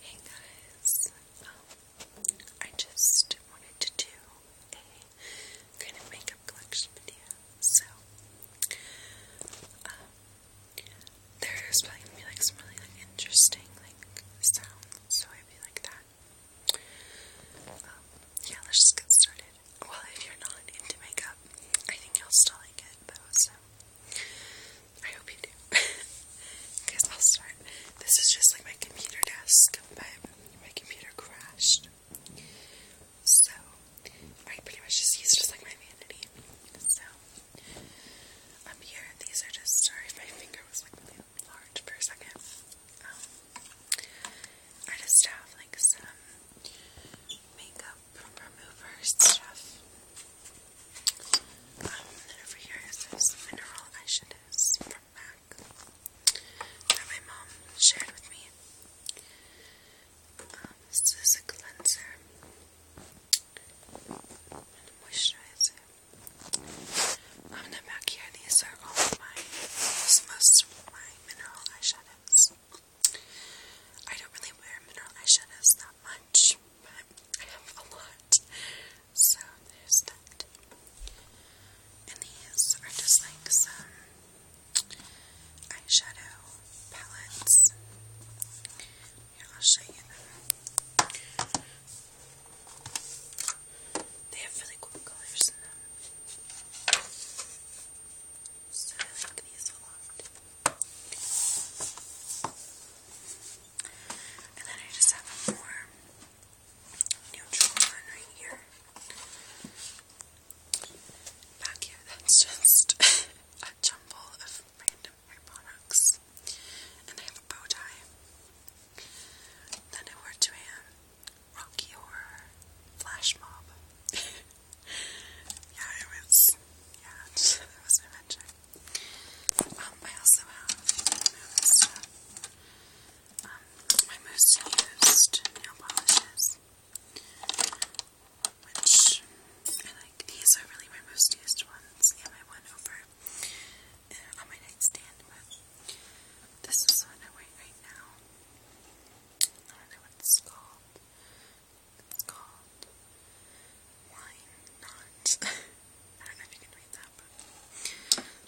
Hey guys, um, I just wanted to do a kind of makeup collection video. So, um, there's probably gonna be like some really like interesting like sounds, so I'd be like that. Um, yeah, let's just get started. Well, if you're not into makeup, I think you'll still like it though. So. I hope you do. I guess I'll start. This is just like my computer desk, but my computer crashed. So, I pretty much just use just like my vanity. So, up here, these are just, sorry my finger was like really large for a second. Um, I just have like some makeup from removers stuff. then um, over here is this mineral eyeshadows from MAC that my mom shared with me. Um, this is a cleanser and moisturizer. Um, and then back of my, most of my mineral eyeshadows. I don't really wear mineral eyeshadows that much, but I have a lot, so there's that. And these are just like some eyeshadow palettes. Here, I'll show you They have really cool colors in them. So I like these a lot. And then I just have a more neutral one right here. Back here, that's just a jumble of random hair products. And I have a bow tie. Then I wore to Rocky Horror Flash Mob. yeah, it was, yeah, it was my adventure. Um, I also have um, my most used nail polishes, which I like. These are really my most used ones, and I went over uh, on my nightstand, this is one I wear right now. I don't know what it's called. It's Not. I don't know if you can read that, but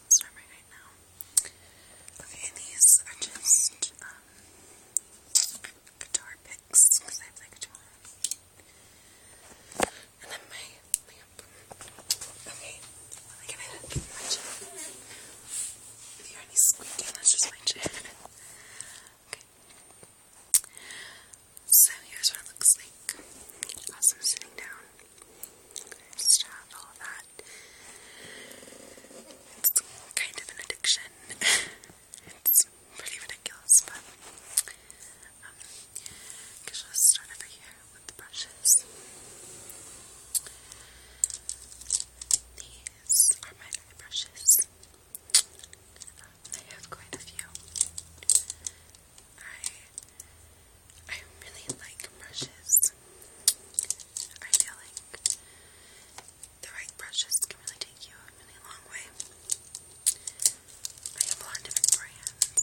it's not right, right now. Okay, these are just um, guitar picks because I play guitar. And then my lamp. Okay, let me get my chair. If you hear any squeaking, that's just my chair. Okay. So here's what it looks like. Also sitting down. Just have all of that. It's kind of an addiction. it's pretty ridiculous, but um, I guess start over here with the brushes. These are my brushes. I have quite a few. I I really like brushes. I feel like the right brushes can really take you a really long way. I have a lot of different brands.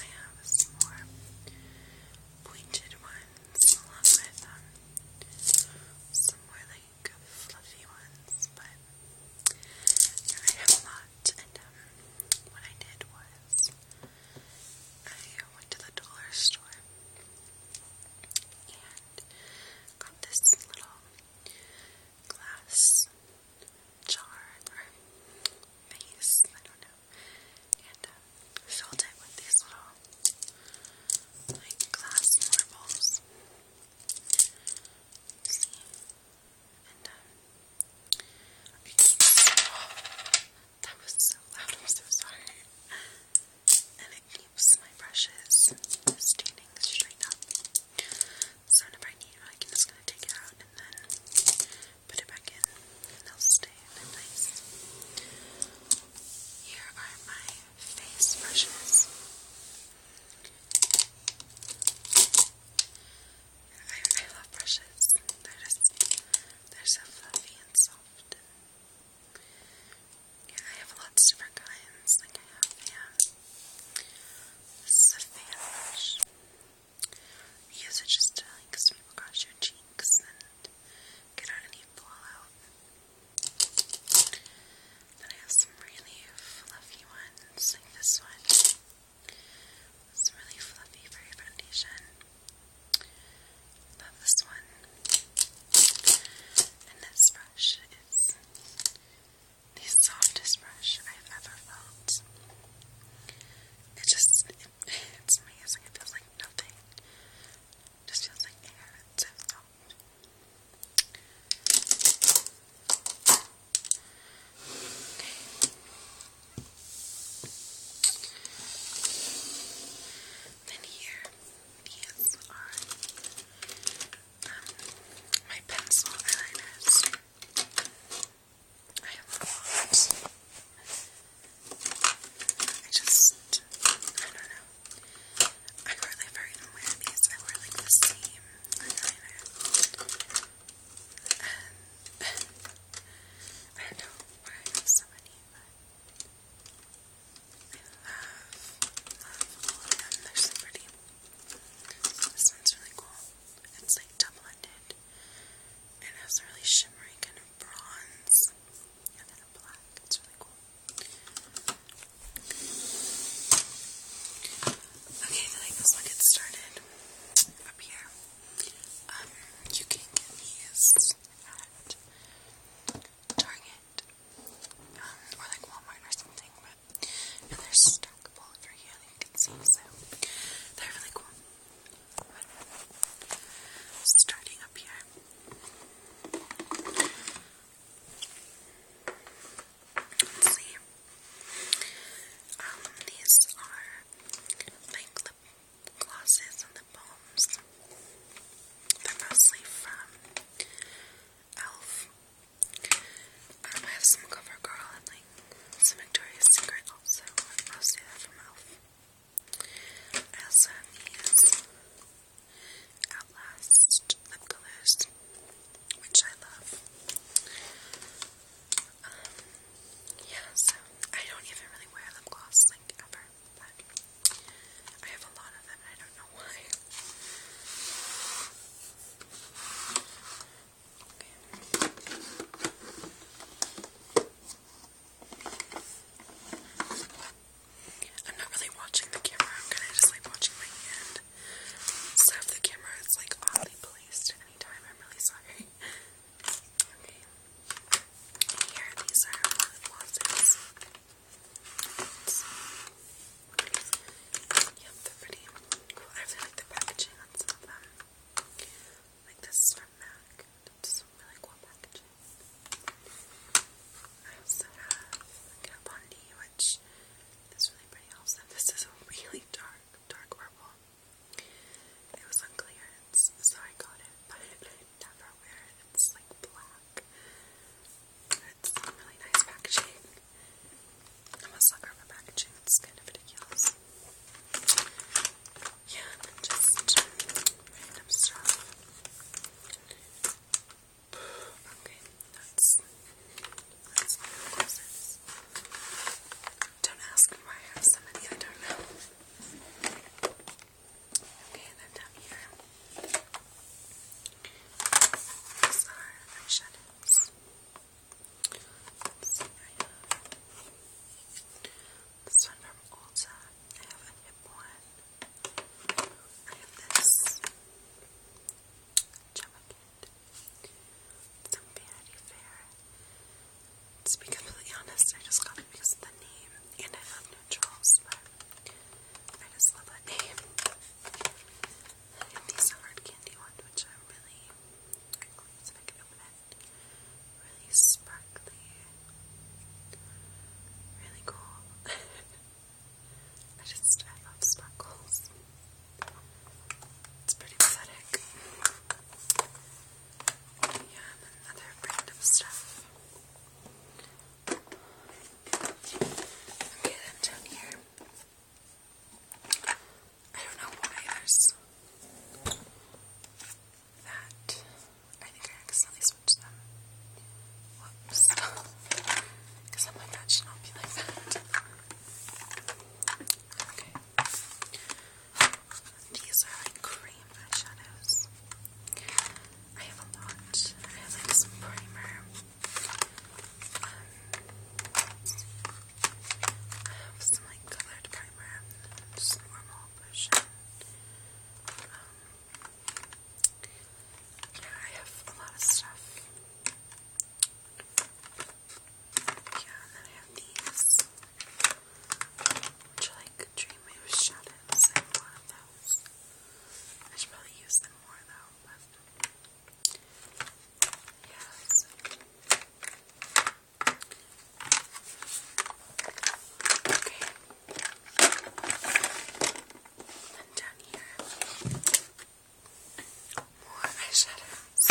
I have some more pointed ones along with some more fluffy ones, but I have a And um, what I did was I went to the dollar store and got this little glass jar or vase, I don't know, and um, filled it with these little like glass marbles that was so loud, I'm so sorry. And it keeps my brushes standing straight up. So if I need, I'm just take it out and then put it back in, and they'll stay in place. Here are my face brushes. I, love brushes. They're just, they're so fluffy and soft. Yeah, I have lots of different kinds. Like I have the, um, this is a fan brush. use it just to like sweep across your cheeks and get out any fallout. Then I have some really fluffy ones, like this one. It's really fluffy for your foundation. Love this one. And this brush is the softest brush I've ever felt. It just, it's amazing. It feels like nothing. just feels like air. It's so then here, these are um, my pencil eyeliners. I have a I just, I don't know. I'm really afraid I'm these. I wear like the same eyeliner. I know I have so many, but I love, love all of them. They're so pretty. This one's really cool. It's like double-ended and has really shimmery kind of bronze and then a black. It's really cool. Okay, I think this get started up here. Um, you can get these at Target um, or like Walmart or something, but and they're stackable over you so they're really cool. Starting up here. Let's see. Um, these are like lip glosses and lip balms. They're mostly from e.l.f. Um, I have some CoverGirl and like some Victoria's Secret also. mostly from e.l.f. I also have these. Outlast lip colors, which I love. Um, yeah, so I don't even really wear lip gloss, like, ever, but I have a lot of them I don't know why. Okay. I'm not really watching the camera. I'm kind of just like watching my hand. So if the camera is like oddly placed at I'm really sorry. Okay. here, these are my lip glosses. yep, they're pretty I really like the packaging on some of them. Like this is from MAC. It's some really cool packaging. I also have Gabbondi, which is really pretty also. This is a really dark, dark purple. It was on so I got it, but I never wear it. It's like black. It's really nice packaging. I'm a sucker for packaging, it's kind of ridiculous. Yeah, just random stuff. Okay, that's that's Don't ask why I have so many, I don't know. Okay, then down here. are eyeshadows. let this one from Ulta. I have a hip one. I have this jacket from Vanity Fair. To be completely honest, I just got it because of the name, and I have no choice. but I just love that name. And hard candy ones, which I can open really sparkly, really cool. I just, I love sparkles. It's pretty pathetic. Yeah, other brand stuff. Okay, then down here. I don't know why there's that. I think I accidentally switched them. Whoops. Because I'm like, not be like that. Okay. These are like cream eyeshadows. I have a lot. I have like some primer. I um, have some like colored primer. Just normal version. Yeah, I have a lot of stuff. Yeah, and then I have these. Which are like Dream Move Shadows. I have a of those. I should probably use them more though, but. Okay. And down more eyeshadows.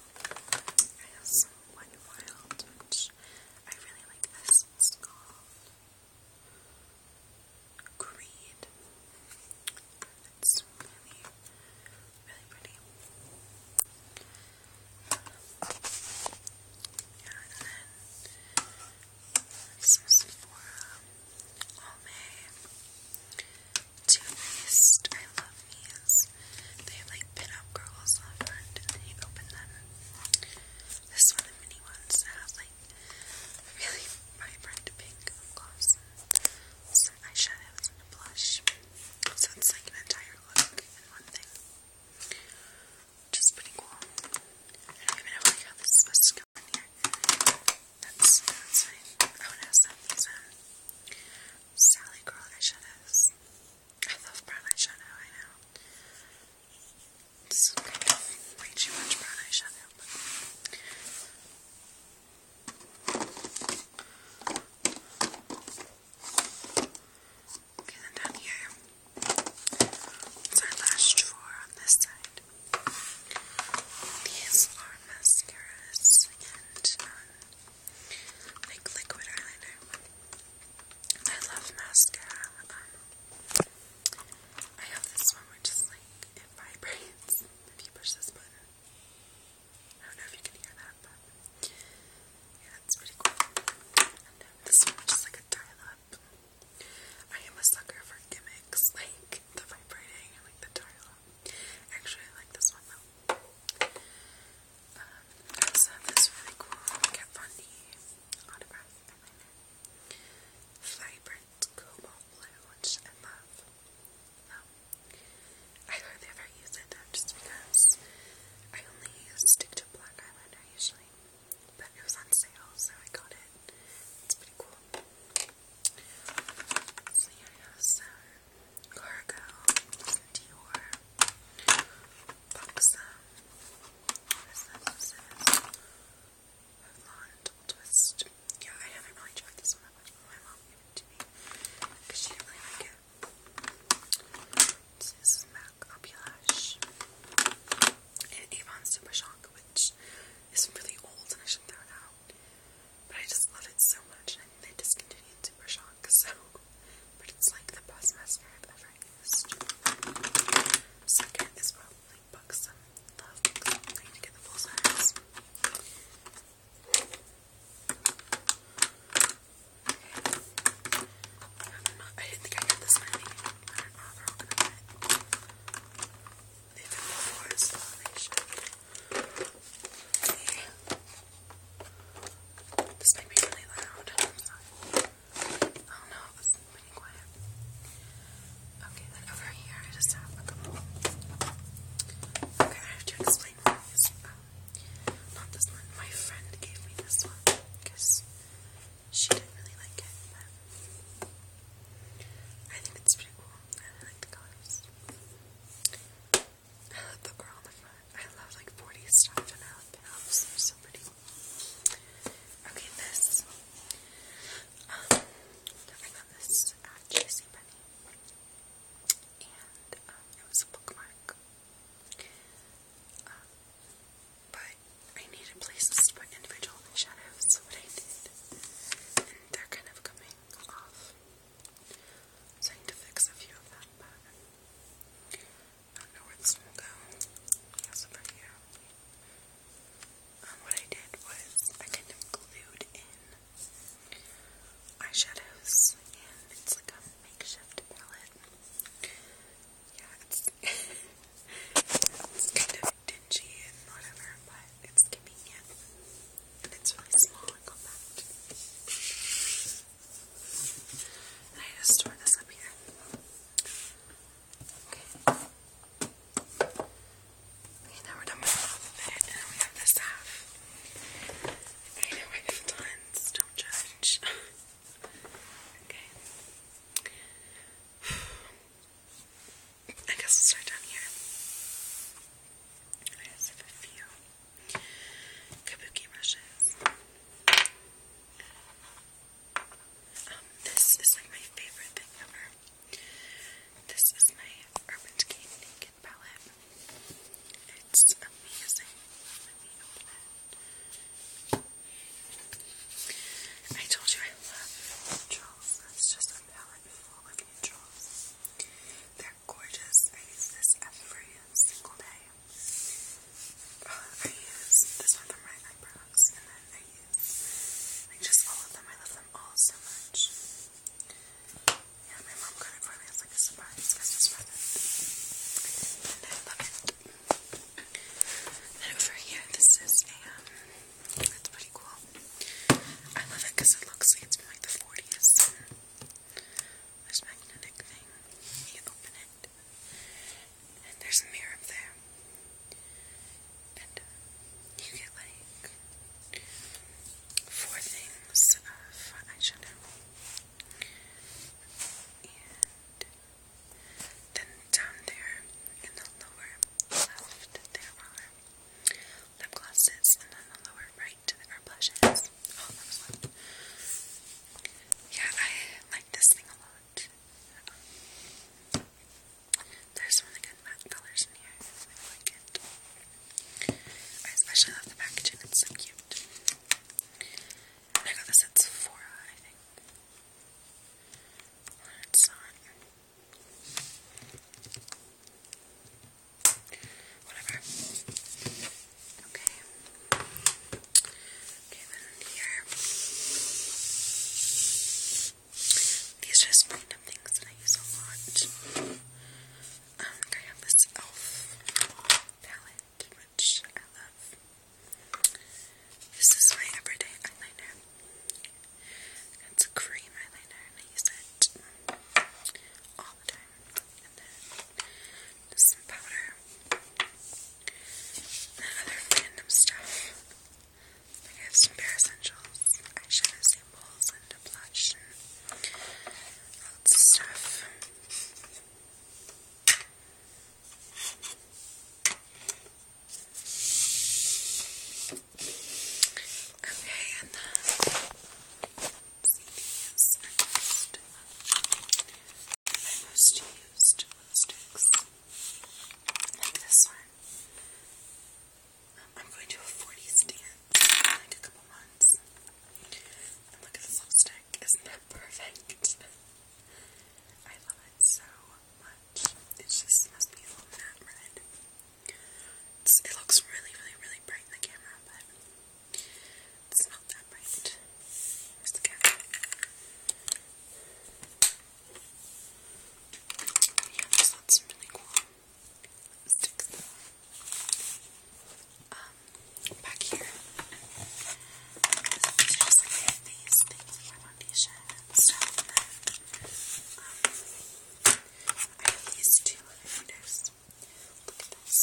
I have some Wet Wild, I really like this. It's called Creed. It's really, really pretty. Some Sephora Almay Too Faced. I love these. They have like pin-up girls on the front and then you open them. This one, the mini ones that have like really vibrant pink gloss and some eyeshadows and a blush. So it's like an entire look in one thing which is pretty cool. I don't even know like, how this is supposed to go in here. That's, that's fine. I also have these um, Sally Girl eyeshadows. I love brown eyeshadow, I know. It's kind brown eyeshadow, but... Okay, then down here, it's our last drawer on this side. These are mascaras and um, like liquid eyeliner. I love mascara. Um, I have this one which is like vibrates if you push this button. I don't know if you can hear that, but yeah, it's pretty cool. Um, this one which like a dial I am a sucker for gimmicks like the vibrating and like the dialogue. Actually, I like this one though. Um, I uh, really cool Kat Von D autograph Cobalt Blue, which I love. Um, I hardly ever use it though, just because I only stick to black eyeliner usually but it was on sale, so I got it. It's pretty cool. So here I cargo, Dior, Buxom, what is this? Twist. Yeah, I haven't really tried this one that much, my mom gave it to me because she didn't really like it. This is MAC Opulash and Avon Super Shock, which is really old and I should throw it out. But I just love it so much and they discontinued Super Shock, so but it's like the best master I've ever used. Second is probably Buxom Love I need to get the full size. I didn't think I got this many. don't know, they have been before, This might be really loud. i don't know, it's pretty quiet. Okay, then over here I just have a couple. Okay, I have to explain what this um, Not this one. My friend gave me this one she didn't really like it, but I think it's pretty cool. I like the colors. I love the girl on the front. I love like 40s stuff and I They're so pretty. Okay, this. Um, I got this at JCPenney. And um, it was a bookmark uh, but I needed places to put individual eyeshadows, so what I did. And they're kind of coming off. So I need to fix a few of them, but I don't know where this will go. Yes, over here. Um, what I did was I kind of glued in eyeshadows, and it's like a makeshift palette. Yeah, it's kind of dingy and whatever, but it's convenient. And it's really small and compact. And I just store this up here. Okay. Okay, now we're done with half of it, and we have this half. I know I have tons, don't judge. Okay. I guess we'll start down here. I just have a few kabuki brushes. Um, this is like my favorite thing ever. This is my Urban Decay Naked palette. It's amazing. I told you I love Charles. That's just a palette full of neutrals. They're gorgeous. I use this every single day. I use this one for my eyebrows, and then I use like just all of them. I love them all so much. Yeah, my mom got it for me. It's like a surprise Christmas present. And I love it. And over here, this is a, um, that's pretty cool. I love it because it looks like it's like the 40s. There's magnetic thing. You open it, and there's a mirror up there. And uh, you get like four things of eyeshadow. Then down there in the lower left, there are lip glosses, and then the lower right are blushes. Oh, that was Yeah, I like this thing a lot. There's really good matte colors in here. I like it. I especially love the packaging, it's so cute. I got this at Sephora, I think it's on. Whatever. Okay. Okay, then here. These are just random things that I use a lot. Um, I have this e.l.f. palette, which I love. This is my everyday eyeliner. It's a cream eyeliner, and I use it all the time. And then some powder. And other random stuff. I have some bare essentials, eyeshadow samples, and a blush, lots of stuff. Okay, and then CDs are most, my most used lipsticks, like this one. Um, I'm going to a 40s dance in like a couple months. look at this lipstick, isn't that perfect? I love it so much. It just must be a little matte red. it looks really, really, really bright in the camera, but it's not that bright. Here's the cat. Yeah, just thought really cool sticks. Um, back here. Just get these things for foundation stuff. Um, I have these two highlighters. Look at this.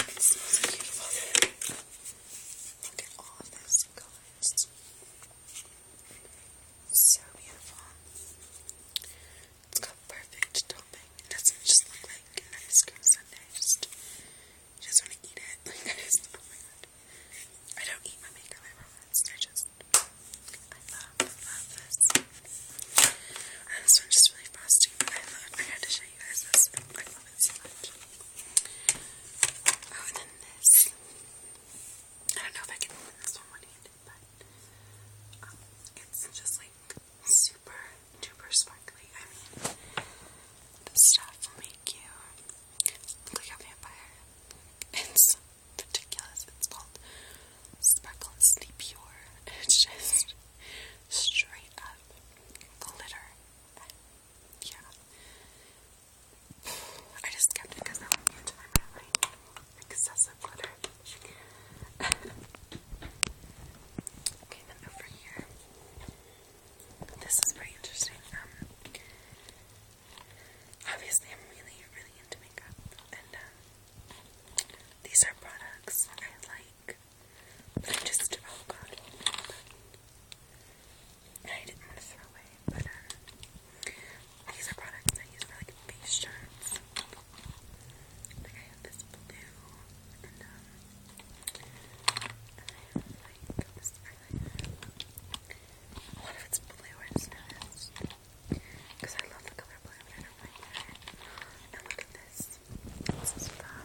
It smells beautiful. Look at all of those colors. So beautiful. It's perfect topping. It doesn't just look like an ice cream sundae. just, just want to eat it. Like, oh my god. I don't eat my makeup, I promise. I just, I love, love this. this one's just really frosty, I had to show you guys this. I love it so much. Oh, and then this. I don't know if I can open this one but um, it's just like super duper sparkly. I mean, this stuff will make you look like a vampire. It's ridiculous. It's called Sparkle. It's It's just straight up glitter. Yeah. I just kept it because I wanted to my mind excessive glitter. okay, then over here. This is pretty interesting. Um, obviously, I'm really, really into makeup, and um, these are products I like. But i just oh god, I didn't want to throw away. But um, these are products I use for like face charts. Like I have this blue and um I have this eyeliner. A lot it's blue, I just noticed. Because I love the color blue, And look at this. This is from I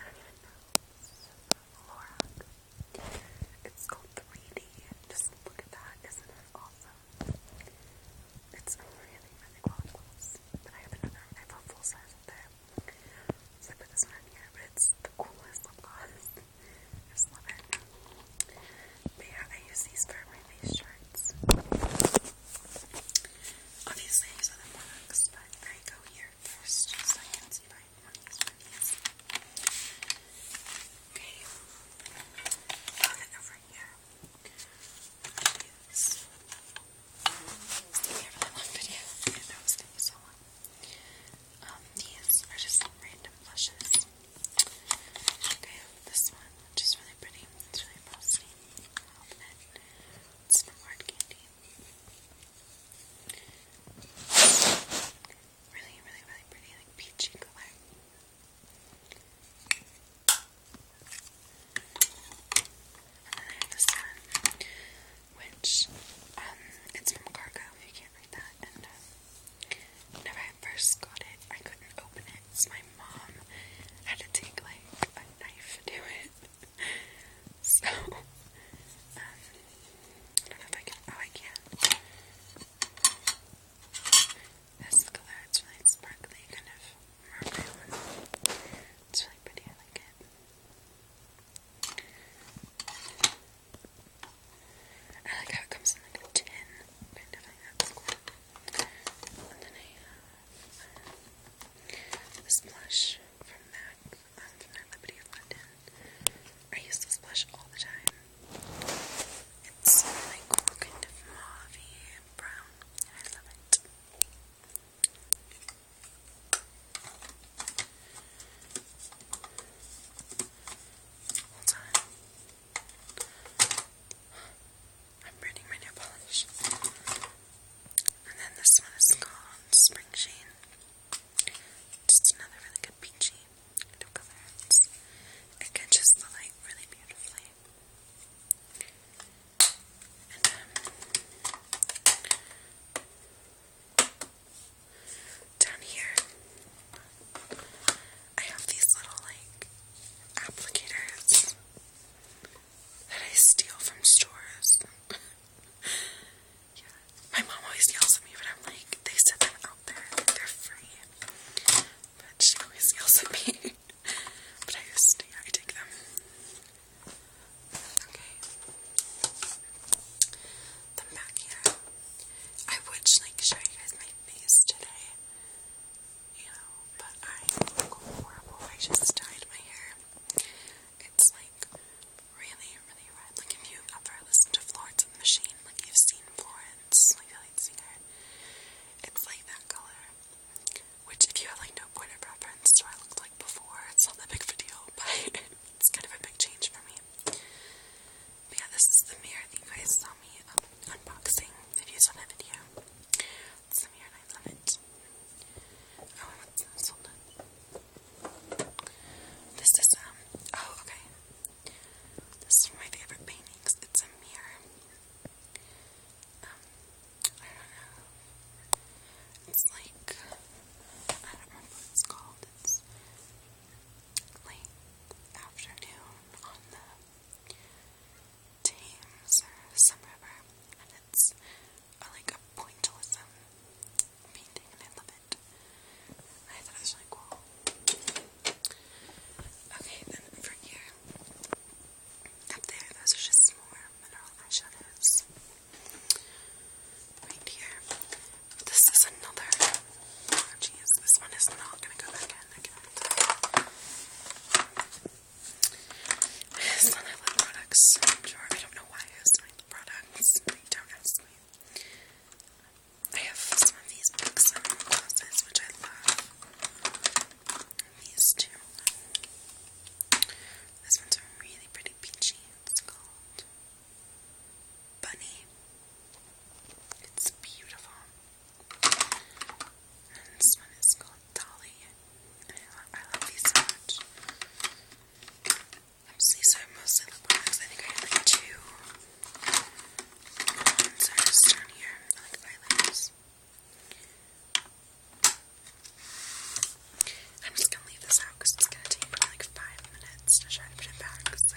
don't even know. It's called 3D. Just look at that. Isn't it awesome? It's really, really quality But I have another one. I bought full size up there. So I put this one here, but it's the coolest lip gloss. I just love it. But yeah, I use these for my face charts. Obviously, use other products, but I go here first, just so I can see my ones for these. Okay. i over here. these are just random blushes. Okay, this one, which is really pretty. It's really frosty. It's from Hard Candy. Really, really, really pretty, like peachy color. I which, um, it's from Cargo, you can't read that, and, um, whenever I first got it, I couldn't open it, so my mom had to take, like, a knife to it, so, um, I don't know if I can, oh, I can. This look at it's really sparkly, kind of mermaid one. It's really pretty, I like it. I like how it comes in like a tin, And then I have this blush from MAC, um, from London. I use this blush all the time. It's like all kind of mauve and brown, I love it. Hold on. I'm burning my nail polish. And then this one is called Spring Sheen. Just another really good peachy the colors. It catches the light really beautifully. And um, down here, I have these little like applicators that I steal from stores. yeah. My mom always yells at me, but I'm like, they set them out there, they're free. But she always yells at me. but I just, yeah, I take them. Okay. The Makia. I would like show you guys my face today. You know, but I look horrible. I just dyed my hair. It's like really, really red. Like if you ever listen to Florence Machine, like you've seen Florence. It's like the lead singer. It's like that color. Which, if you have like no point of reference to what I looked like before, it's not that big of a deal, but it's kind of a big change for me. But yeah, this is the mirror that you guys saw me unboxing if you saw that video. It's mirror I love it. Oh, Hold on. This is, um, oh, okay. This is my favorite painting. It's a mirror. Um, I don't know. It's like I don't remember what it's called. It's late afternoon on the Thames or some river, and it's like a pointillism painting, and I love it. I thought it was really cool. Okay, then for here, up there, those are just more mineral eyeshadows. Right here, this is another. Oh, this one is not gonna go back in. I can products. sure I don't know why I products. don't ask me. I have some of these books on the closets, which I love. These two. This one's a really pretty peachy. It's called Bunny. It's beautiful. And this one is called Dolly. I love, I love these so much. These are mostly lip products. I think I have like two so just down here, I like highlighters. I'm just gonna leave this out because it's gonna take me like five minutes to try to put it back. So.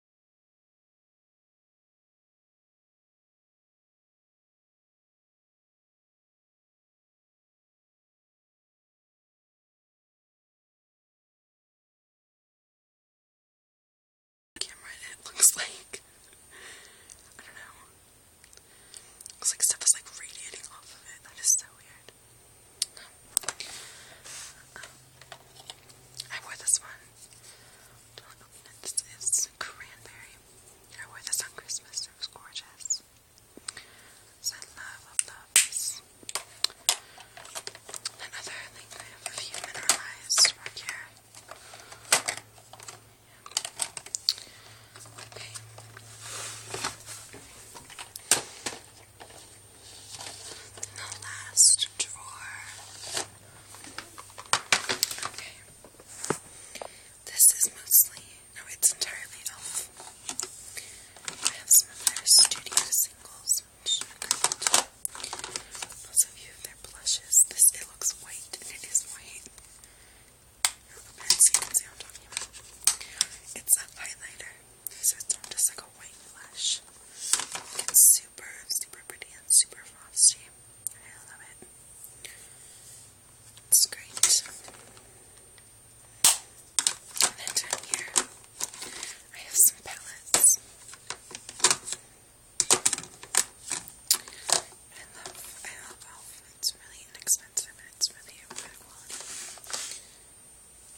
camera it looks like I don't know. Looks like stuff is like radiating off of it. That is so weird. I wore this one Local peanuts is cranberry. I wore this on Christmas. It was gorgeous. So love, love, love Another I have a few mineralized right here. Okay. the last drawer Okay. This is mostly, no, it's entirely off. I have some of their studio singles, which are good. of their blushes. This, it looks white, and it is white. I hope you can see I'm talking about. It's a highlighter, so it's just like a white blush. You can super, super pretty and super frosty. I love it. It's great. And then here, I have some palettes. I love, I love Elf. It's really inexpensive it's really good quality.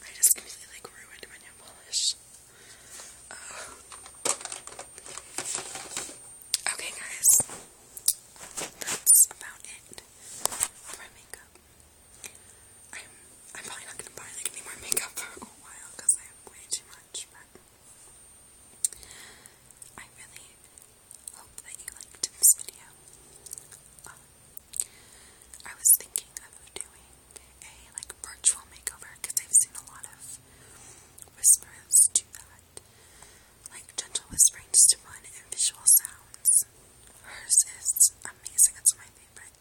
I just completely like ruined my nail polish. Oh. okay, guys, that's about it I'm probably not gonna buy any more makeup for a while because I have way too much. But I really hope that you liked this video. Um, I was thinking of doing a like virtual makeover because I've seen a lot of whisperers do that. Like gentle whispering just to fun and visual sounds. Hers is amazing, it's my favorite.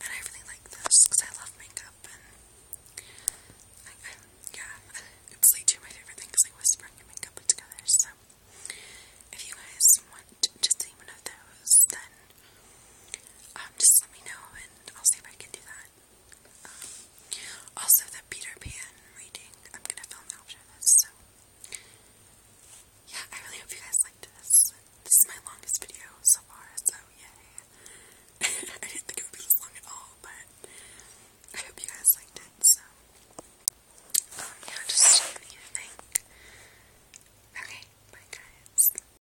And I really like this because I love makeup and I, I, yeah, it's like two of my favorite things like whispering and makeup together. So if you guys want to see one of those, then um, just let me know and I'll see if I can do that. Um, also, the Peter Pan reading, I'm gonna film after this, so yeah, I really hope you guys liked this. This is my longest video so far, so yay. I didn't think it would be this long at all, but I hope you guys liked it, so. Um, yeah, just let me think. Okay, bye guys.